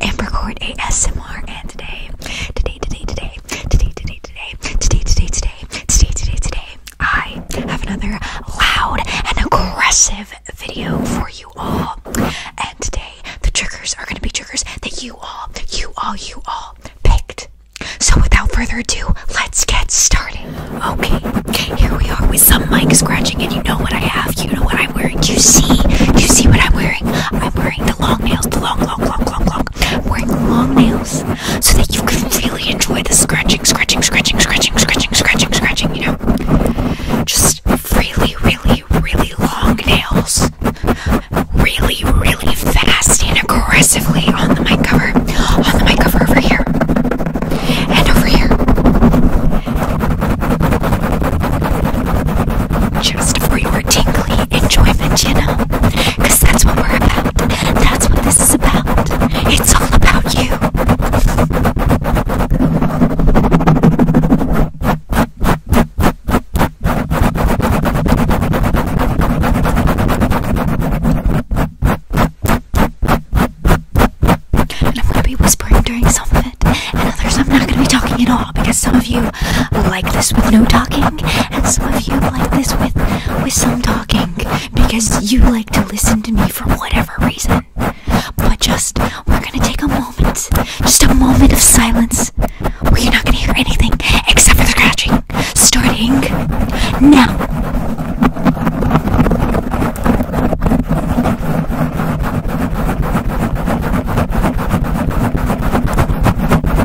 Ambercord ASMR and today, today, today, today, today, today, today, today, today, today, today, today, today, I have another loud and aggressive video for you all. And today, the triggers are going to be triggers that you all, you all, you all picked. So without further ado, let's get started. Okay, here we are with some mic scratching, and you know what I have. You know what I'm wearing. You see, you see what I'm wearing. I'm wearing the long nails, the long, long, long, long, long, wearing long nails so that you can really enjoy the scratching, scratching, scratching, scratching, scratching, scratching, scratching, you know? Just really, really, really long nails. Really, really fast and aggressively on the mic cover. On the mic cover over here. And over here. Just for your tingly enjoyment, you know? Because that's what we're about. That's what this is about. It's all about you. And I'm going to be whispering during some of it, and others I'm not going to be talking at all because some of you like this with no talking, and some of you like this with with some talking because you like to listen to me for whatever reason. But just we're gonna take a moment, just a moment of silence where you're not gonna hear anything except for the scratching. Starting now.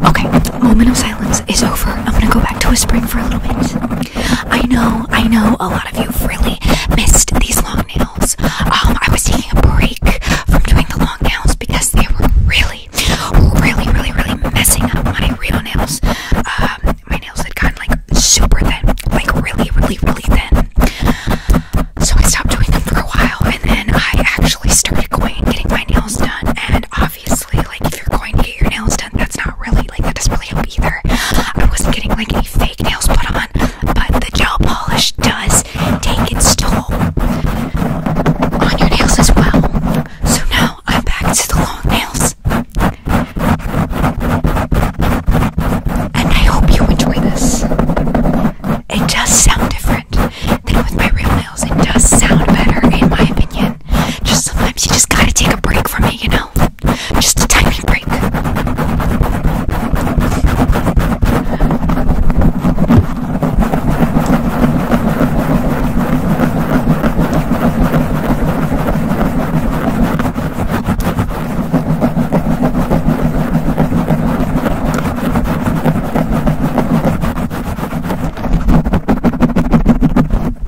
Okay, moment of silence is, over. I'm gonna go back to whispering for a little bit. I know, I know a lot of you really missed these long nails. Um, I was taking a break from doing the long nails because they were really, really, really, really messing up my real nails. Um, my nails had gotten like super thin, like really, really, really thin. So I stopped doing them for a while and then I actually started going and getting my nails done and obviously obviously, like if you're going to get your nails done, that's not really like that does really help either. I wasn't getting like any fake nails put on, but the gel polish does take its toll on your nails as well. So now I'm back to the long nails. And I hope you enjoy this. It does sound different than with my real nails. It does sound better, in my opinion. Just sometimes you just gotta take a break from me, you know? Just a tiny break.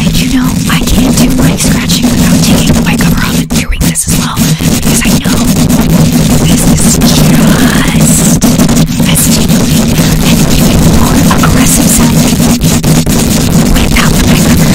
And you know, I can't do mic scratching without taking the mic cover off and doing this as well. Because I know this is just festively and even more aggressive sounding without the cover.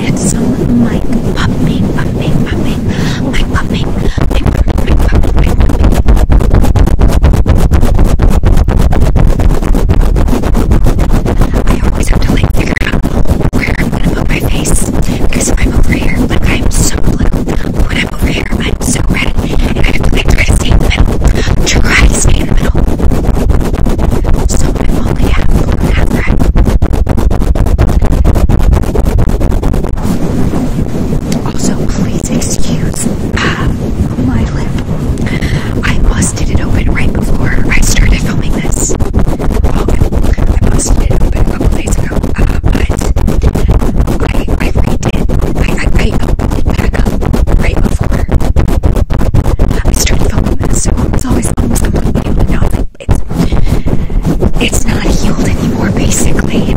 It's some like popping, popping, popping, like popping, like popping, I always have to like figure out where I'm gonna put my feet because I'm over here, like I'm so blue, but when I'm over here, I'm so red, and I have to like try to stay in the middle, try to stay in the middle. So I'm only half blue and half red. Also, please excuse uh, my lip. I busted it open right before I started filming this. I busted it open a couple days ago true, uh, but I, I liked it. I, I, I opened it back up right before I started filming this, so it's always almost like one video, but now it's like, it's, it's not healed anymore, basically.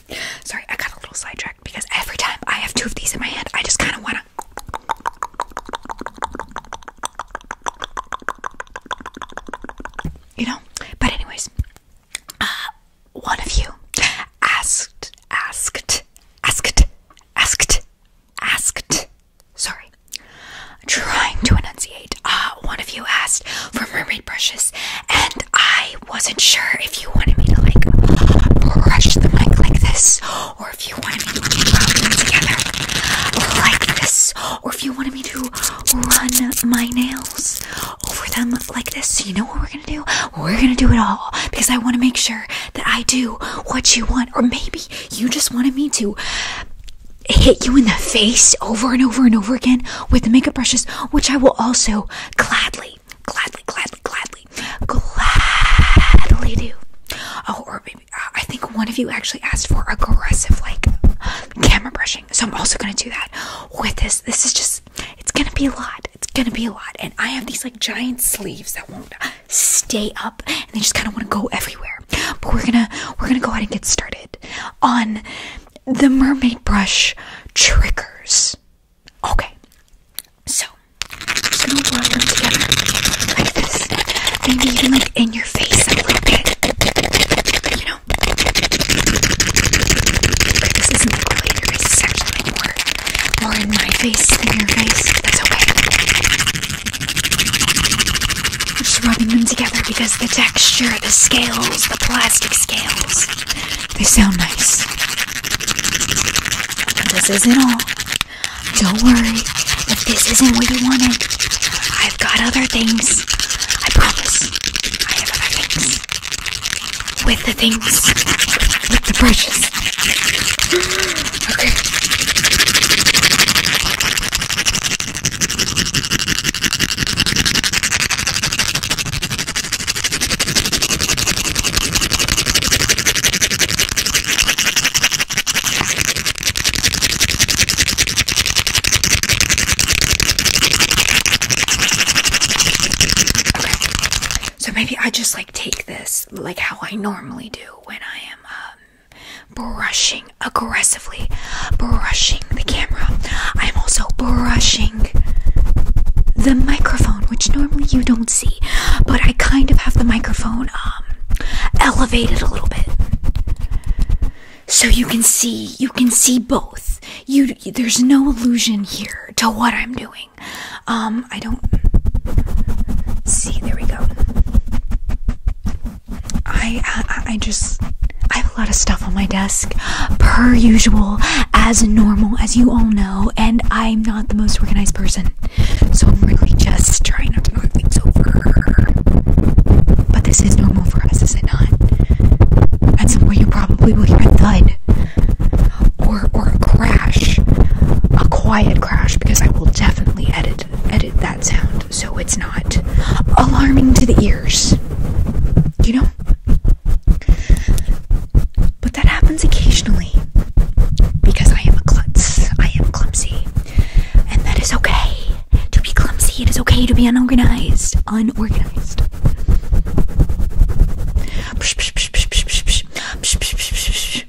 Sorry, I got a little sidetracked because every time I have two of these in my hand, I just kind of want to. You know? But, anyways, uh, one of you asked, asked, asked, asked, asked. Sorry. Trying to enunciate. Uh, one of you asked for mermaid brushes, and I wasn't sure if you wanted me to like brush the mic like this, or if you wanted me to rub them together like this, or if you wanted me to run my nails over them like this. So you know what we're gonna do? We're gonna do it all because I want to make sure that I do what you want, or maybe you just wanted me to hit you in the face over and over and over again with the makeup brushes, which I will also gladly gladly, gladly, gladly, gladly do. Oh, or maybe uh, I think one of you actually asked for aggressive, like camera brushing. So I'm also gonna do that with this. This is just, it's gonna be a lot. It's gonna be a lot. And I have these like giant sleeves that won't stay up, and they just kind of want to go everywhere. But we're gonna, we're gonna go ahead and get started on the mermaid brush triggers. Okay, so I'm just gonna rub them together like this. Maybe even like in your face a little bit. You know? this isn't like really in your actually like more, more in my face than your face. That's okay. I'm just rubbing them together because the texture, the scales, the plastic scales. They sound nice. This isn't all. Don't worry if this isn't what you wanted. I've got other things. I promise. I have other things. With the things. With the brushes. So maybe I just like take this like how I normally do when I am um, brushing aggressively, brushing the camera. I'm also brushing the microphone, which normally you don't see but I kind of have the microphone um elevated a little bit. So you can see, you can see both. You there's no illusion here to what I'm doing. Um I don't see there we go. I I, I just I have a lot of stuff on my desk per usual as normal as you all know and I'm not the most organized person, so I'm really just trying not to move things over. But this is normal for us, is it not? That's some point, you probably will hear a thud or or a crash, a quiet crash, because I will definitely edit edit that sound so it's not alarming to the ears. You know. But that happens occasionally because I am a klutz. I am clumsy. And that is okay to be clumsy. It is okay to be unorganized. Unorganized.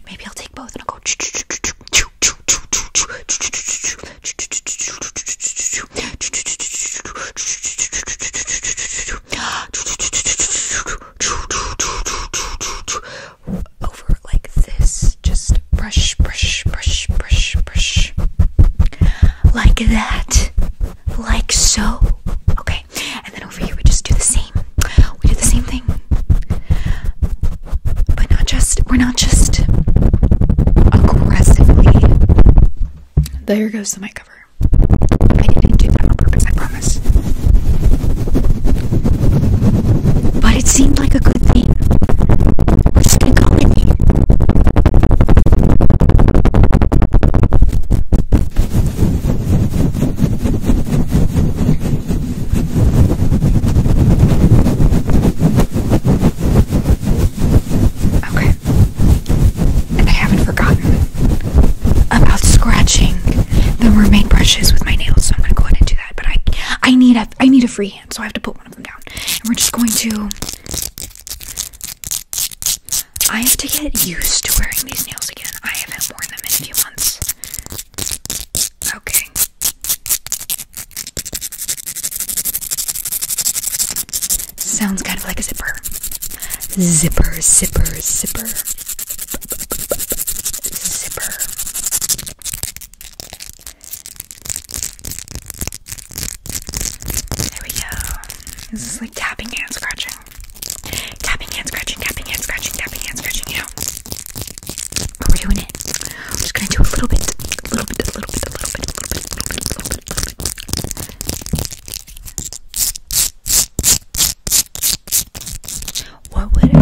Maybe I'll take both and I'll go over like this. Just brush, brush, brush, brush, brush. Like that. Like so. Okay. And then over here we just do the same. We do the same thing. But not just we're not just aggressively. There goes the mic cover. I didn't do that on purpose, but it seemed like a good thing. We're going Okay. I haven't forgotten about scratching the mermaid brushes with my nails, so I'm gonna go ahead and do that. But I, I need a, I need a free hand, so I have to put one of them down. And we're just going to. I have to get used to wearing these nails again. I haven't worn them in a few months. Okay. Sounds kind of like a zipper. Zipper, zipper, zipper zipper. There we go. This is like tapping and scratching. Tapping and scratching, tapping and scratching, tapping and scratching, you know. But we're doing it. I'm just gonna do a little bit, a little bit, a little bit, a little bit, a little bit, a little bit, a little bit, a little bit what would it be?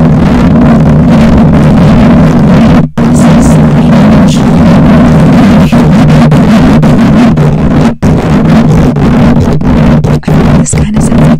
This is I think this kind of sounds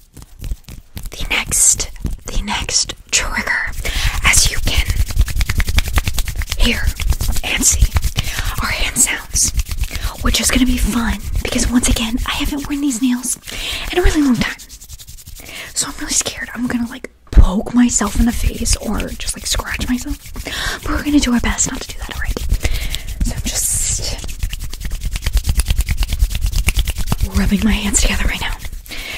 the next the next trigger as you can hear and see our hands sounds which is gonna be fun because once again I haven't worn these nails in a really long time so I'm really scared I'm gonna like poke myself in the face or just like scratch myself but we're gonna do our best not to do that alright? so I'm just I'm rubbing my hands together right now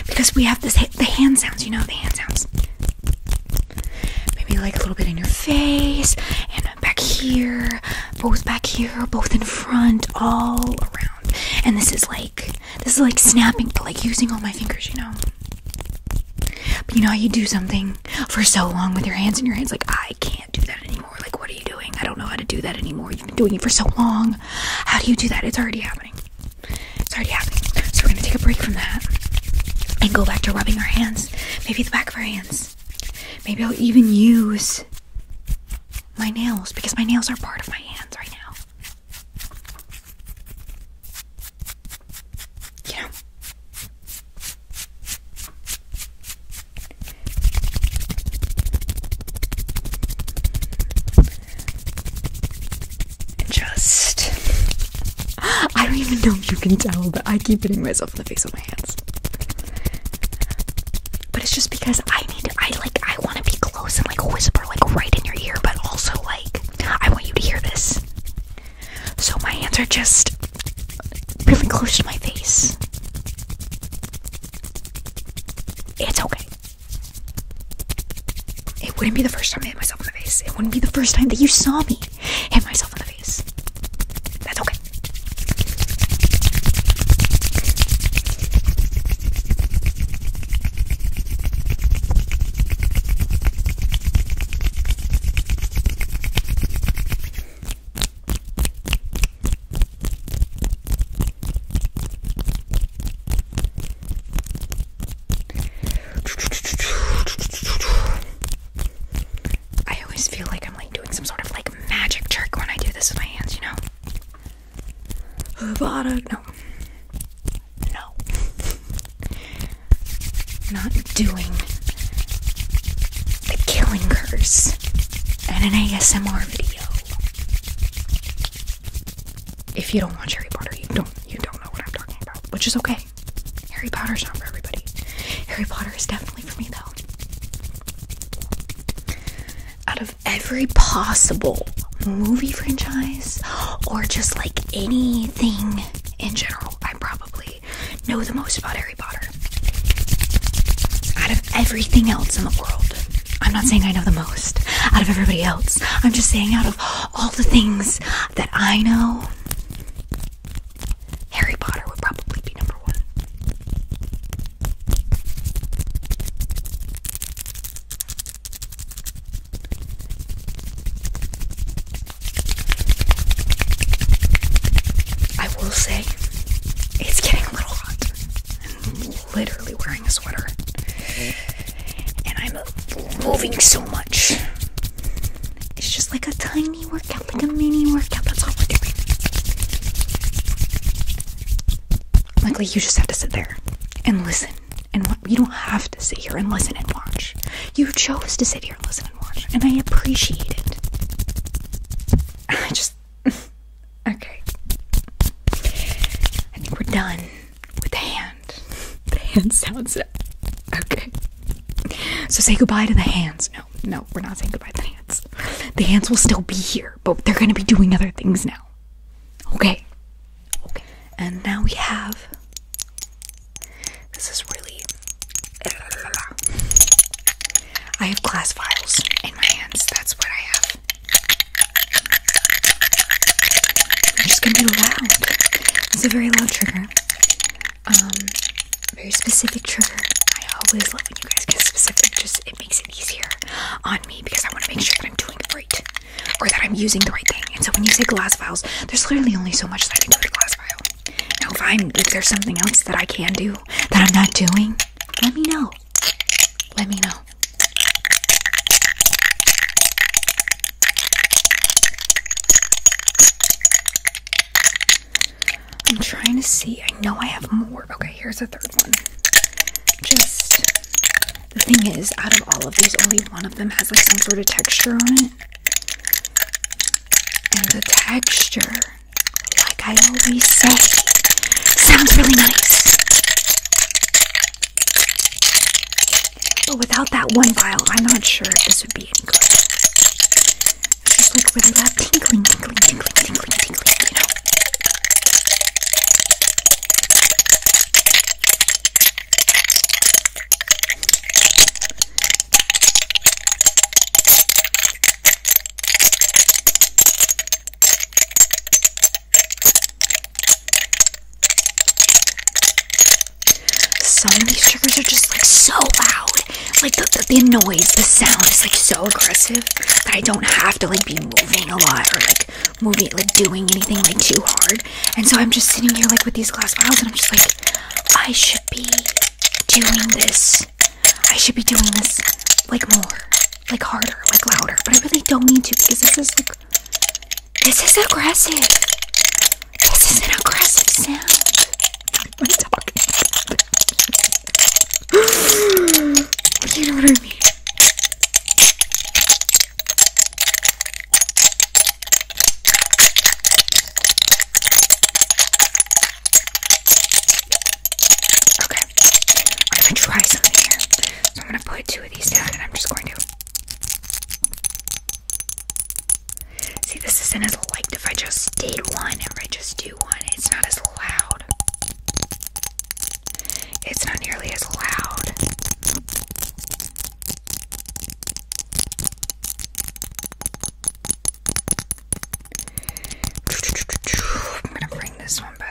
because we have this the hand sounds, you know, the hand sounds. Maybe like a little bit in your face and back here, both back here, both in front, all around. And this is like this is like snapping, but like using all my fingers, you know. But you know how you do something for so long with your hands and your hands like I can't do that anymore. Like, what are you doing? I don't know how to do that anymore. You've been doing it for so long. How do you do that? It's already happening. It's already happening. So, we're gonna take a break from that and go back to rubbing our hands. Maybe the back of our hands. Maybe I'll even use my nails because my nails are part of my hands right now. You just. I don't even know if you can tell, but I keep hitting myself in the face with my hands. But it's just because I need to, I like, I want to be close and like whisper, like right in your ear, but also like, I want you to hear this. So my hands are just really close to my face. It's okay. It wouldn't be the first time I hit myself in the face. It wouldn't be the first time that you saw me hit myself in the face. That's okay. I always feel like I'm like doing some sort of like magic trick when I do this with my hands, you know? No. No. Not doing the killing curse and an ASMR video. If you don't watch Harry Potter, you don't you don't know what I'm talking about, which is okay. Harry Potter's not for everybody. Harry Potter is definitely for me though. Out of every possible movie franchise or just like anything in general, I probably know the most about Harry out of everything else in the world, I'm not saying I know the most. Out of everybody else, I'm just saying out of all the things that I know, Harry Potter would probably be number one. I will say it's getting a little hot literally wearing a sweater. And I'm moving so much. It's just like a tiny workout, like a mini workout. That's all we're doing. Luckily, you just have to sit there and listen. And you don't have to sit here and listen and watch. You chose to sit here and listen and watch, and I appreciate it. just okay. I think we're done with the hand. The hand sounds okay. So say goodbye to the hands. No, no, we're not saying goodbye to the hands. The hands will still be here, but they're gonna be doing other things now. Okay. Okay. And now we have this is really I have glass files in my hands. That's what I have. I'm just gonna be loud. It's a very loud trigger. Um, very specific trigger. I always love when you guys get specific. Just it makes it easier on me because I want to make sure that I'm doing it right or that I'm using the right thing. And so when you say glass files, there's literally only so much that I can do with a glass file. Now, if I'm if there's something else that I can do that I'm not doing, let me know let me know. I'm trying to see. I know I have more. Okay, here's a third one. Just the thing is, out of all of these, only one of them has like some sort of texture on it. And the texture like I always say, sounds really nice. But without that one vial, I'm not sure if this would be any good. just like really that tinkling, tinkling, tinkling, tinkling, tinkling, some of these triggers are just like so loud. Like the, the, noise, the sound is like so aggressive that I don't have to like be moving a lot or like moving, like doing anything like too hard. And so I'm just sitting here like with these glass bottles and I'm just like, I should be doing this I should be doing this like more, like harder, like louder, but I really don't need to because this is like this is aggressive. This is an aggressive sound. What are you talking you know what Okay. I'm gonna try something here. So I'm gonna put two of these down and I'm just going to. See, this isn't as loud. if I just did one or I just do one. It's not as loud. It's not nearly as loud. I'm gonna bring this one back.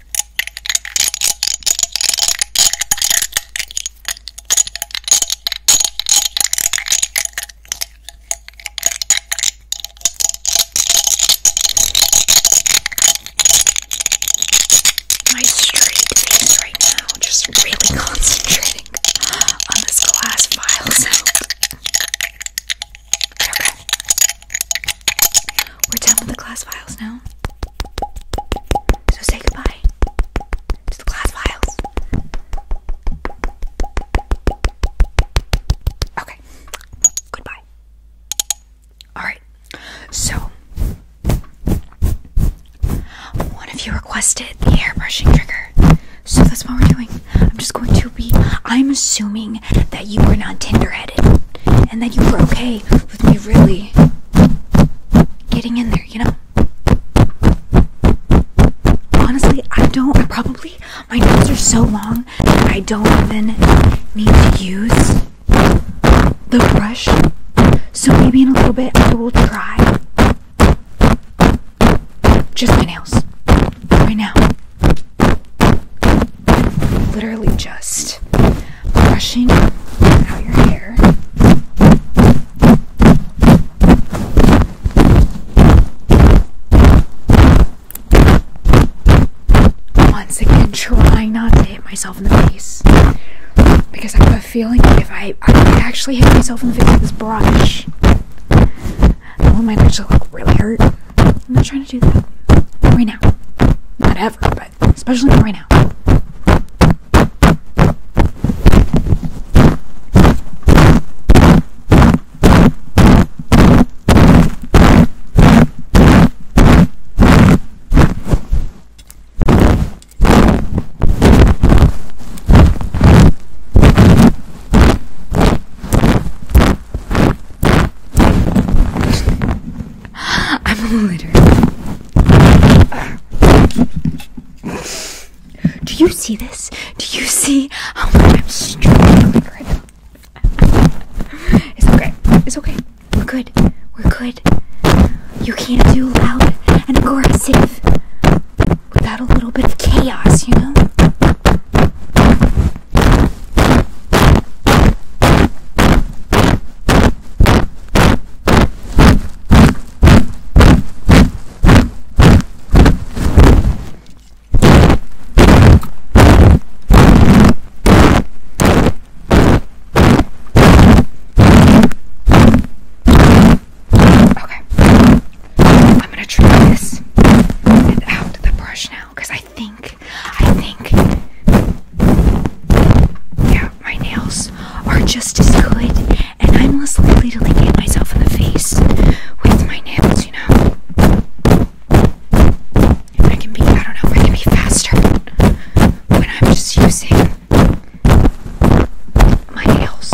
My straight face right now, just really concentrating on this glass file sound. Okay. We're done with the class files now. So say goodbye to the class files. Okay. Goodbye. Alright. So one of you requested the airbrushing trigger. So that's what we're doing. I'm just going to be I'm assuming that you were not Tinder headed and that you were okay with me really getting in there, you know? Honestly, I don't I probably my nails are so long that I don't even need to use the brush. So maybe in a little bit I will try just my nails right now literally just brushing out your hair. Once again, trying not to hit myself in the face because I have a feeling if I, actually hit myself in the face with this brush, that one might actually like really hurt. I'm not trying to do that right now, not ever, but it, especially right now. I'm a litter. Do you see this? Do you see how much I'm struggling It's okay. It's okay. We're good. We're good. You can't do loud and aggressive without a little bit of chaos, you know? Okay. I'm going to try this without the brush now because I think I think, yeah, my nails are just as good, and I'm less likely to like hit myself in the face with my nails, you know. I can be, I don't know, I can be faster when I'm just using my nails.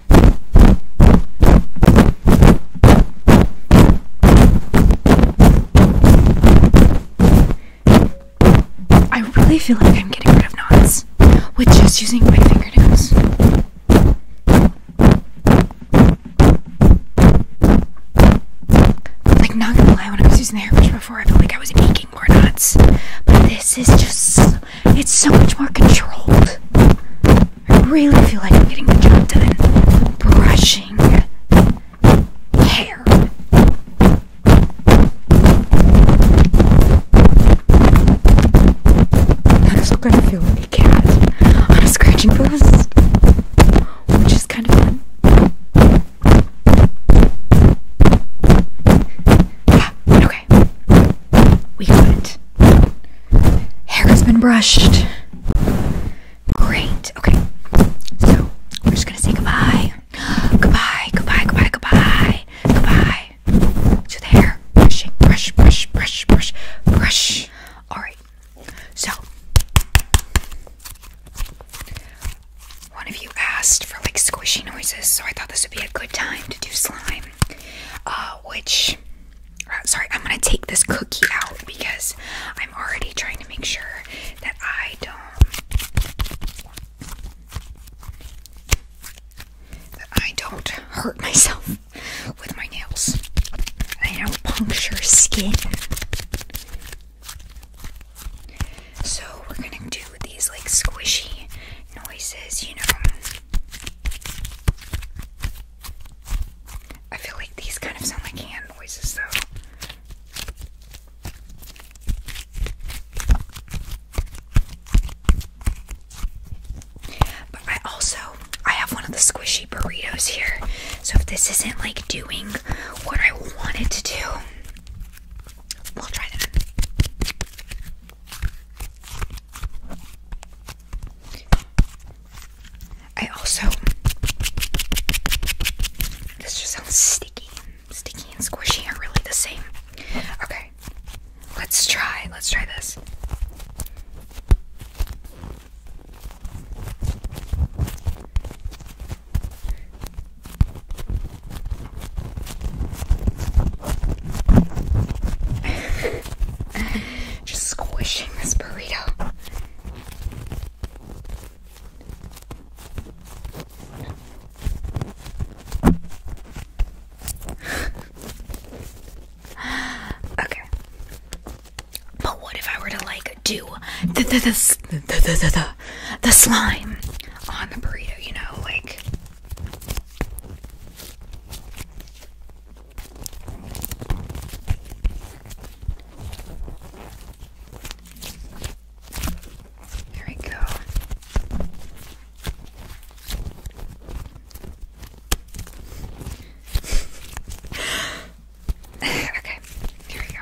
I really feel like I'm getting rid of knots with just using my fingernails. Like, not gonna lie, when I was using the hairbrush before, I felt like I was making more knots. But this is just it's so much more controlled. I really feel like I'm getting the job done. Brushing hair. I'm still gonna like a cat on a scratching post, which is kind of fun. Yeah, okay. Okay. We got it. Hair has been brushed. Great. Okay. So, we're just going to say goodbye. Goodbye, goodbye, goodbye, goodbye. Goodbye. To the hair. Brushing. Brush, brush, brush, brush, brush. Alright. So, one of you asked for like squishy noises, so I thought this would be a good time to do slime. Uh, which uh, sorry, I'm gonna take this cookie out because I'm already trying to make sure that I don't that I don't hurt myself with my nails. I don't puncture skin. So we're gonna do these like squishy noises, you know. I feel like these kind of sound like hand noises, though. But I also I have one of the squishy burritos here. So if this isn't like doing what I want to do, we'll try that. I also this just sounds sticky, sticky and squishy are really the same. Okay, let's try. Let's try this. Just squishing this burrito. okay. But what if I were to like do the the the the the, the, the, slime on the burrito, you know, like there we go. okay, here we go.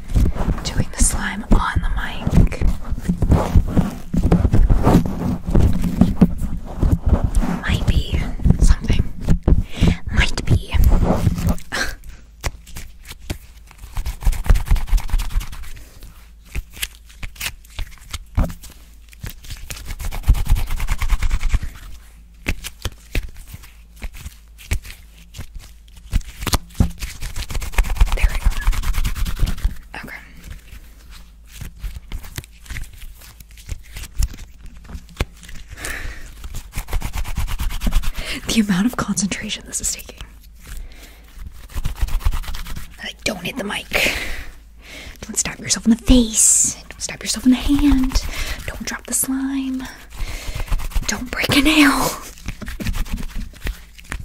doing the slime on the mic. Might be something. Might be. There we go. Okay. The amount of concentration this is taking. don't hit the mic. Don't stab yourself in the face. Don't stab yourself in the hand. Don't drop the slime. Don't break a nail. Okay.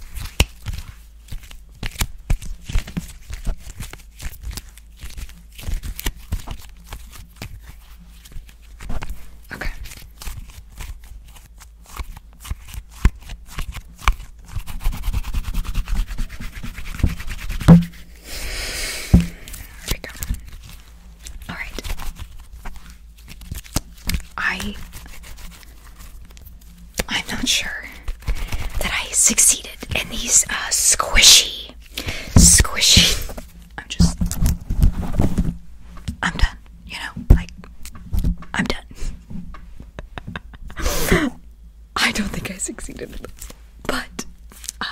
There we go. All right. I I'm not sure that I succeeded in these uh, squishy squishy I'm just I'm done, you know, like I'm done. I don't think I succeeded But uh,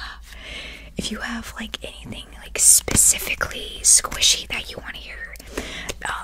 if you have like anything like specifically squishy that you want to hear, uh,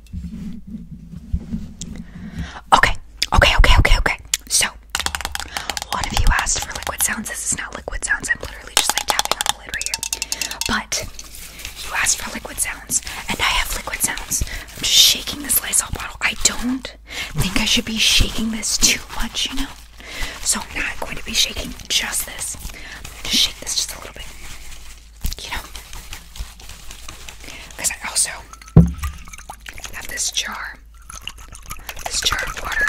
Okay, okay, okay, okay, okay. So, one of you asked for liquid sounds. This is not liquid sounds. I'm literally just like tapping on the lid right here. But you asked for liquid sounds, and I have liquid sounds. I'm just shaking this Lysol bottle. I don't think I should be shaking this too much, you know? So, I'm not going to be shaking just this. I'm going to shake this just a little bit you know, because I also have this jar, this jar of water.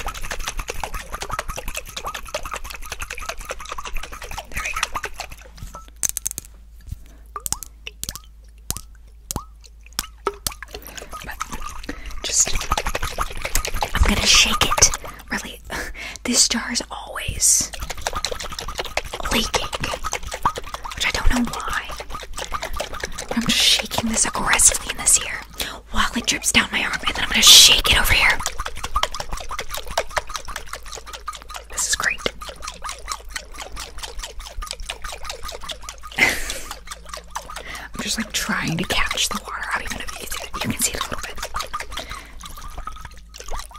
just, I'm gonna shake it really this jar is always leaking, which I don't know why. I'm just shaking this aggressively in this ear while it drips down my arm, and then I'm gonna shake it over here. This is great. I'm just like trying to catch the water out, even if you can see it a little bit.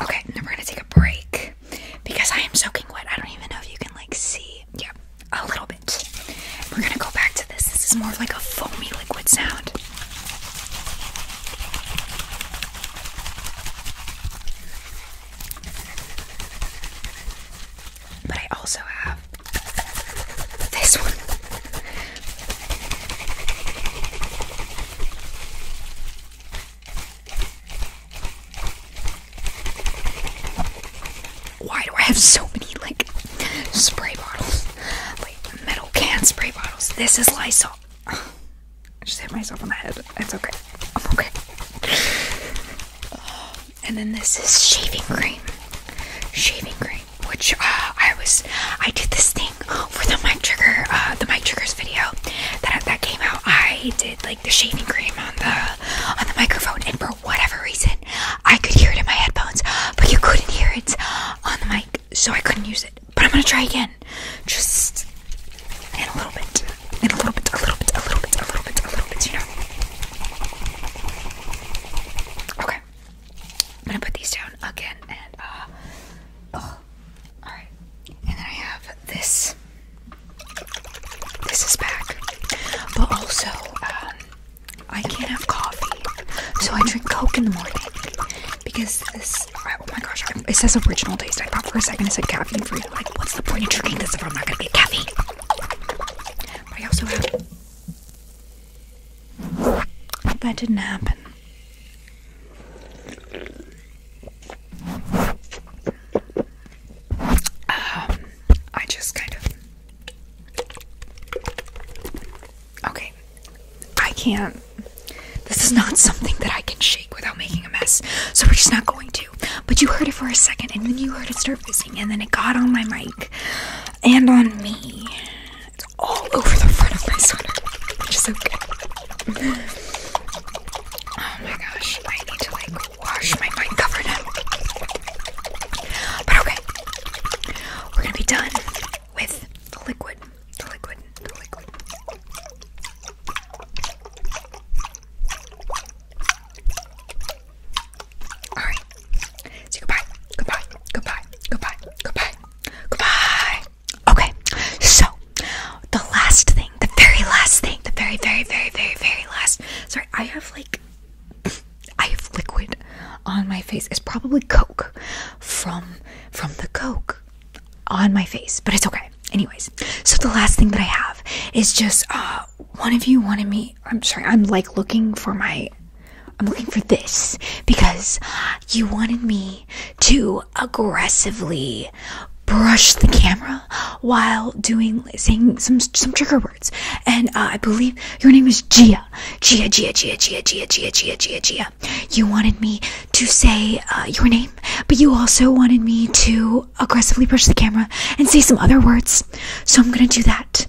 Okay, now we're gonna take a break because I am soaking wet. I don't even know if you can like see. Yeah, a little bit. We're gonna go back to this. This is more like a foamy liquid sound. But I also have this one. Why do I have so many like spray bottles? Wait, metal can spray bottles. This is Lysol. I just hit myself on the head. It's okay. I'm okay. And then this is shaving cream. Shaving cream which uh, I was I did this thing for the mic trigger uh, the mic triggers video that that came out I did like the shaving cream on the on the microphone and for whatever reason I could hear it in my headphones but you couldn't hear it on the mic so I couldn't use it but I'm gonna try again just in a little bit in a little bit a little bit a little bit a little bit a little bit you know okay I'm gonna put these down again and uh oh. Alright. And then I have this. This is back. But also, um, I can't have coffee. So I drink Coke in the morning. Because this oh my gosh, it says original taste. I thought for a second it said caffeine free. Like, what's the point of drinking this if I'm not gonna get caffeine? But I also have that didn't happen. Um, I just kind of. Okay. I can't. This is not something that I can shake without making a mess, so we're just not going to. But you heard it for a second, and then you heard it start fizzing, and then it got on my mic and on me. It's all over the front of my sweater, which is okay. oh my gosh, I need to like wash my mic cover now. But okay, we're gonna be done with the liquid, the liquid, the liquid. Alright, Say goodbye, goodbye, goodbye, goodbye, goodbye, goodbye. Okay, so the last thing, the very last thing, the very, very, very, very, very last. Sorry, I have like, I have liquid on my face. It's probably Coke from from the Coke on my face, but it's okay. Anyways, so the last thing that I have is just uh, one of you wanted me. I'm sorry, I'm like looking for my I'm looking for this because you wanted me to aggressively brush the camera while doing saying some some trigger words. And uh, I believe your name is Gia. Gia, Gia, Gia, Gia, Gia, Gia, Gia, Gia, Gia. You wanted me to say uh, your name, but you also wanted me to aggressively brush the camera and say some other words. So I'm gonna do that.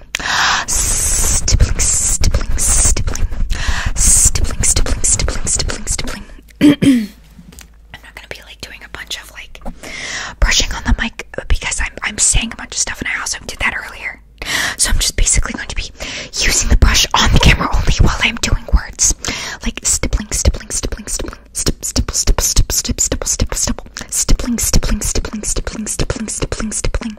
Stippling, stippling, stippling. Stippling, stippling, stippling, stippling, stippling. I'm not gonna be like doing a bunch of like brushing on the mic because I'm I'm saying a bunch of stuff and I also did that earlier. So I'm just basically going to be using the brush on the camera only while I'm doing words. Like stippling, stippling, stippling, stippling, stip, stipple, stipple, stip, stip, stipple, stipple, stipple, stippling, stippling, stippling, stippling, stippling, stippling, stippling,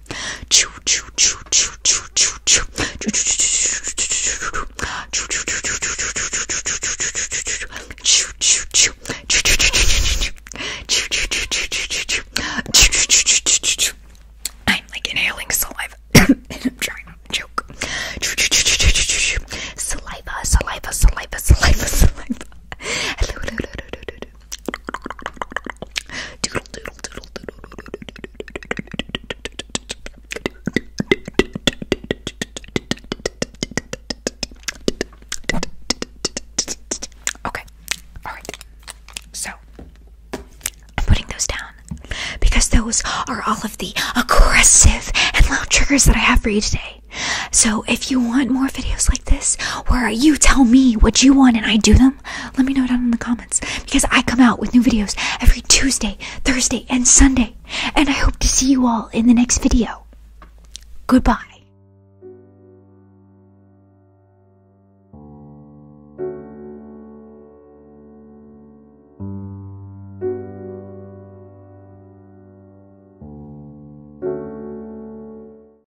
Chew, chew, chew, chew, chew, chew, chew. Chew, chew, chew. I'm like inhaling saliva and I'm trying not to choke. Saliva, saliva, saliva, saliva, saliva. Hello, hello, hello, hello, hello. Okay, alright. So I'm putting those down because those are all of the aggressive and loud triggers that I have for you today. So if you want more videos like this where you tell me what you want and I do them, let me know down in the comments because I come out with new videos every Tuesday, Thursday, and Sunday. And I hope to see you all in the next video. Goodbye.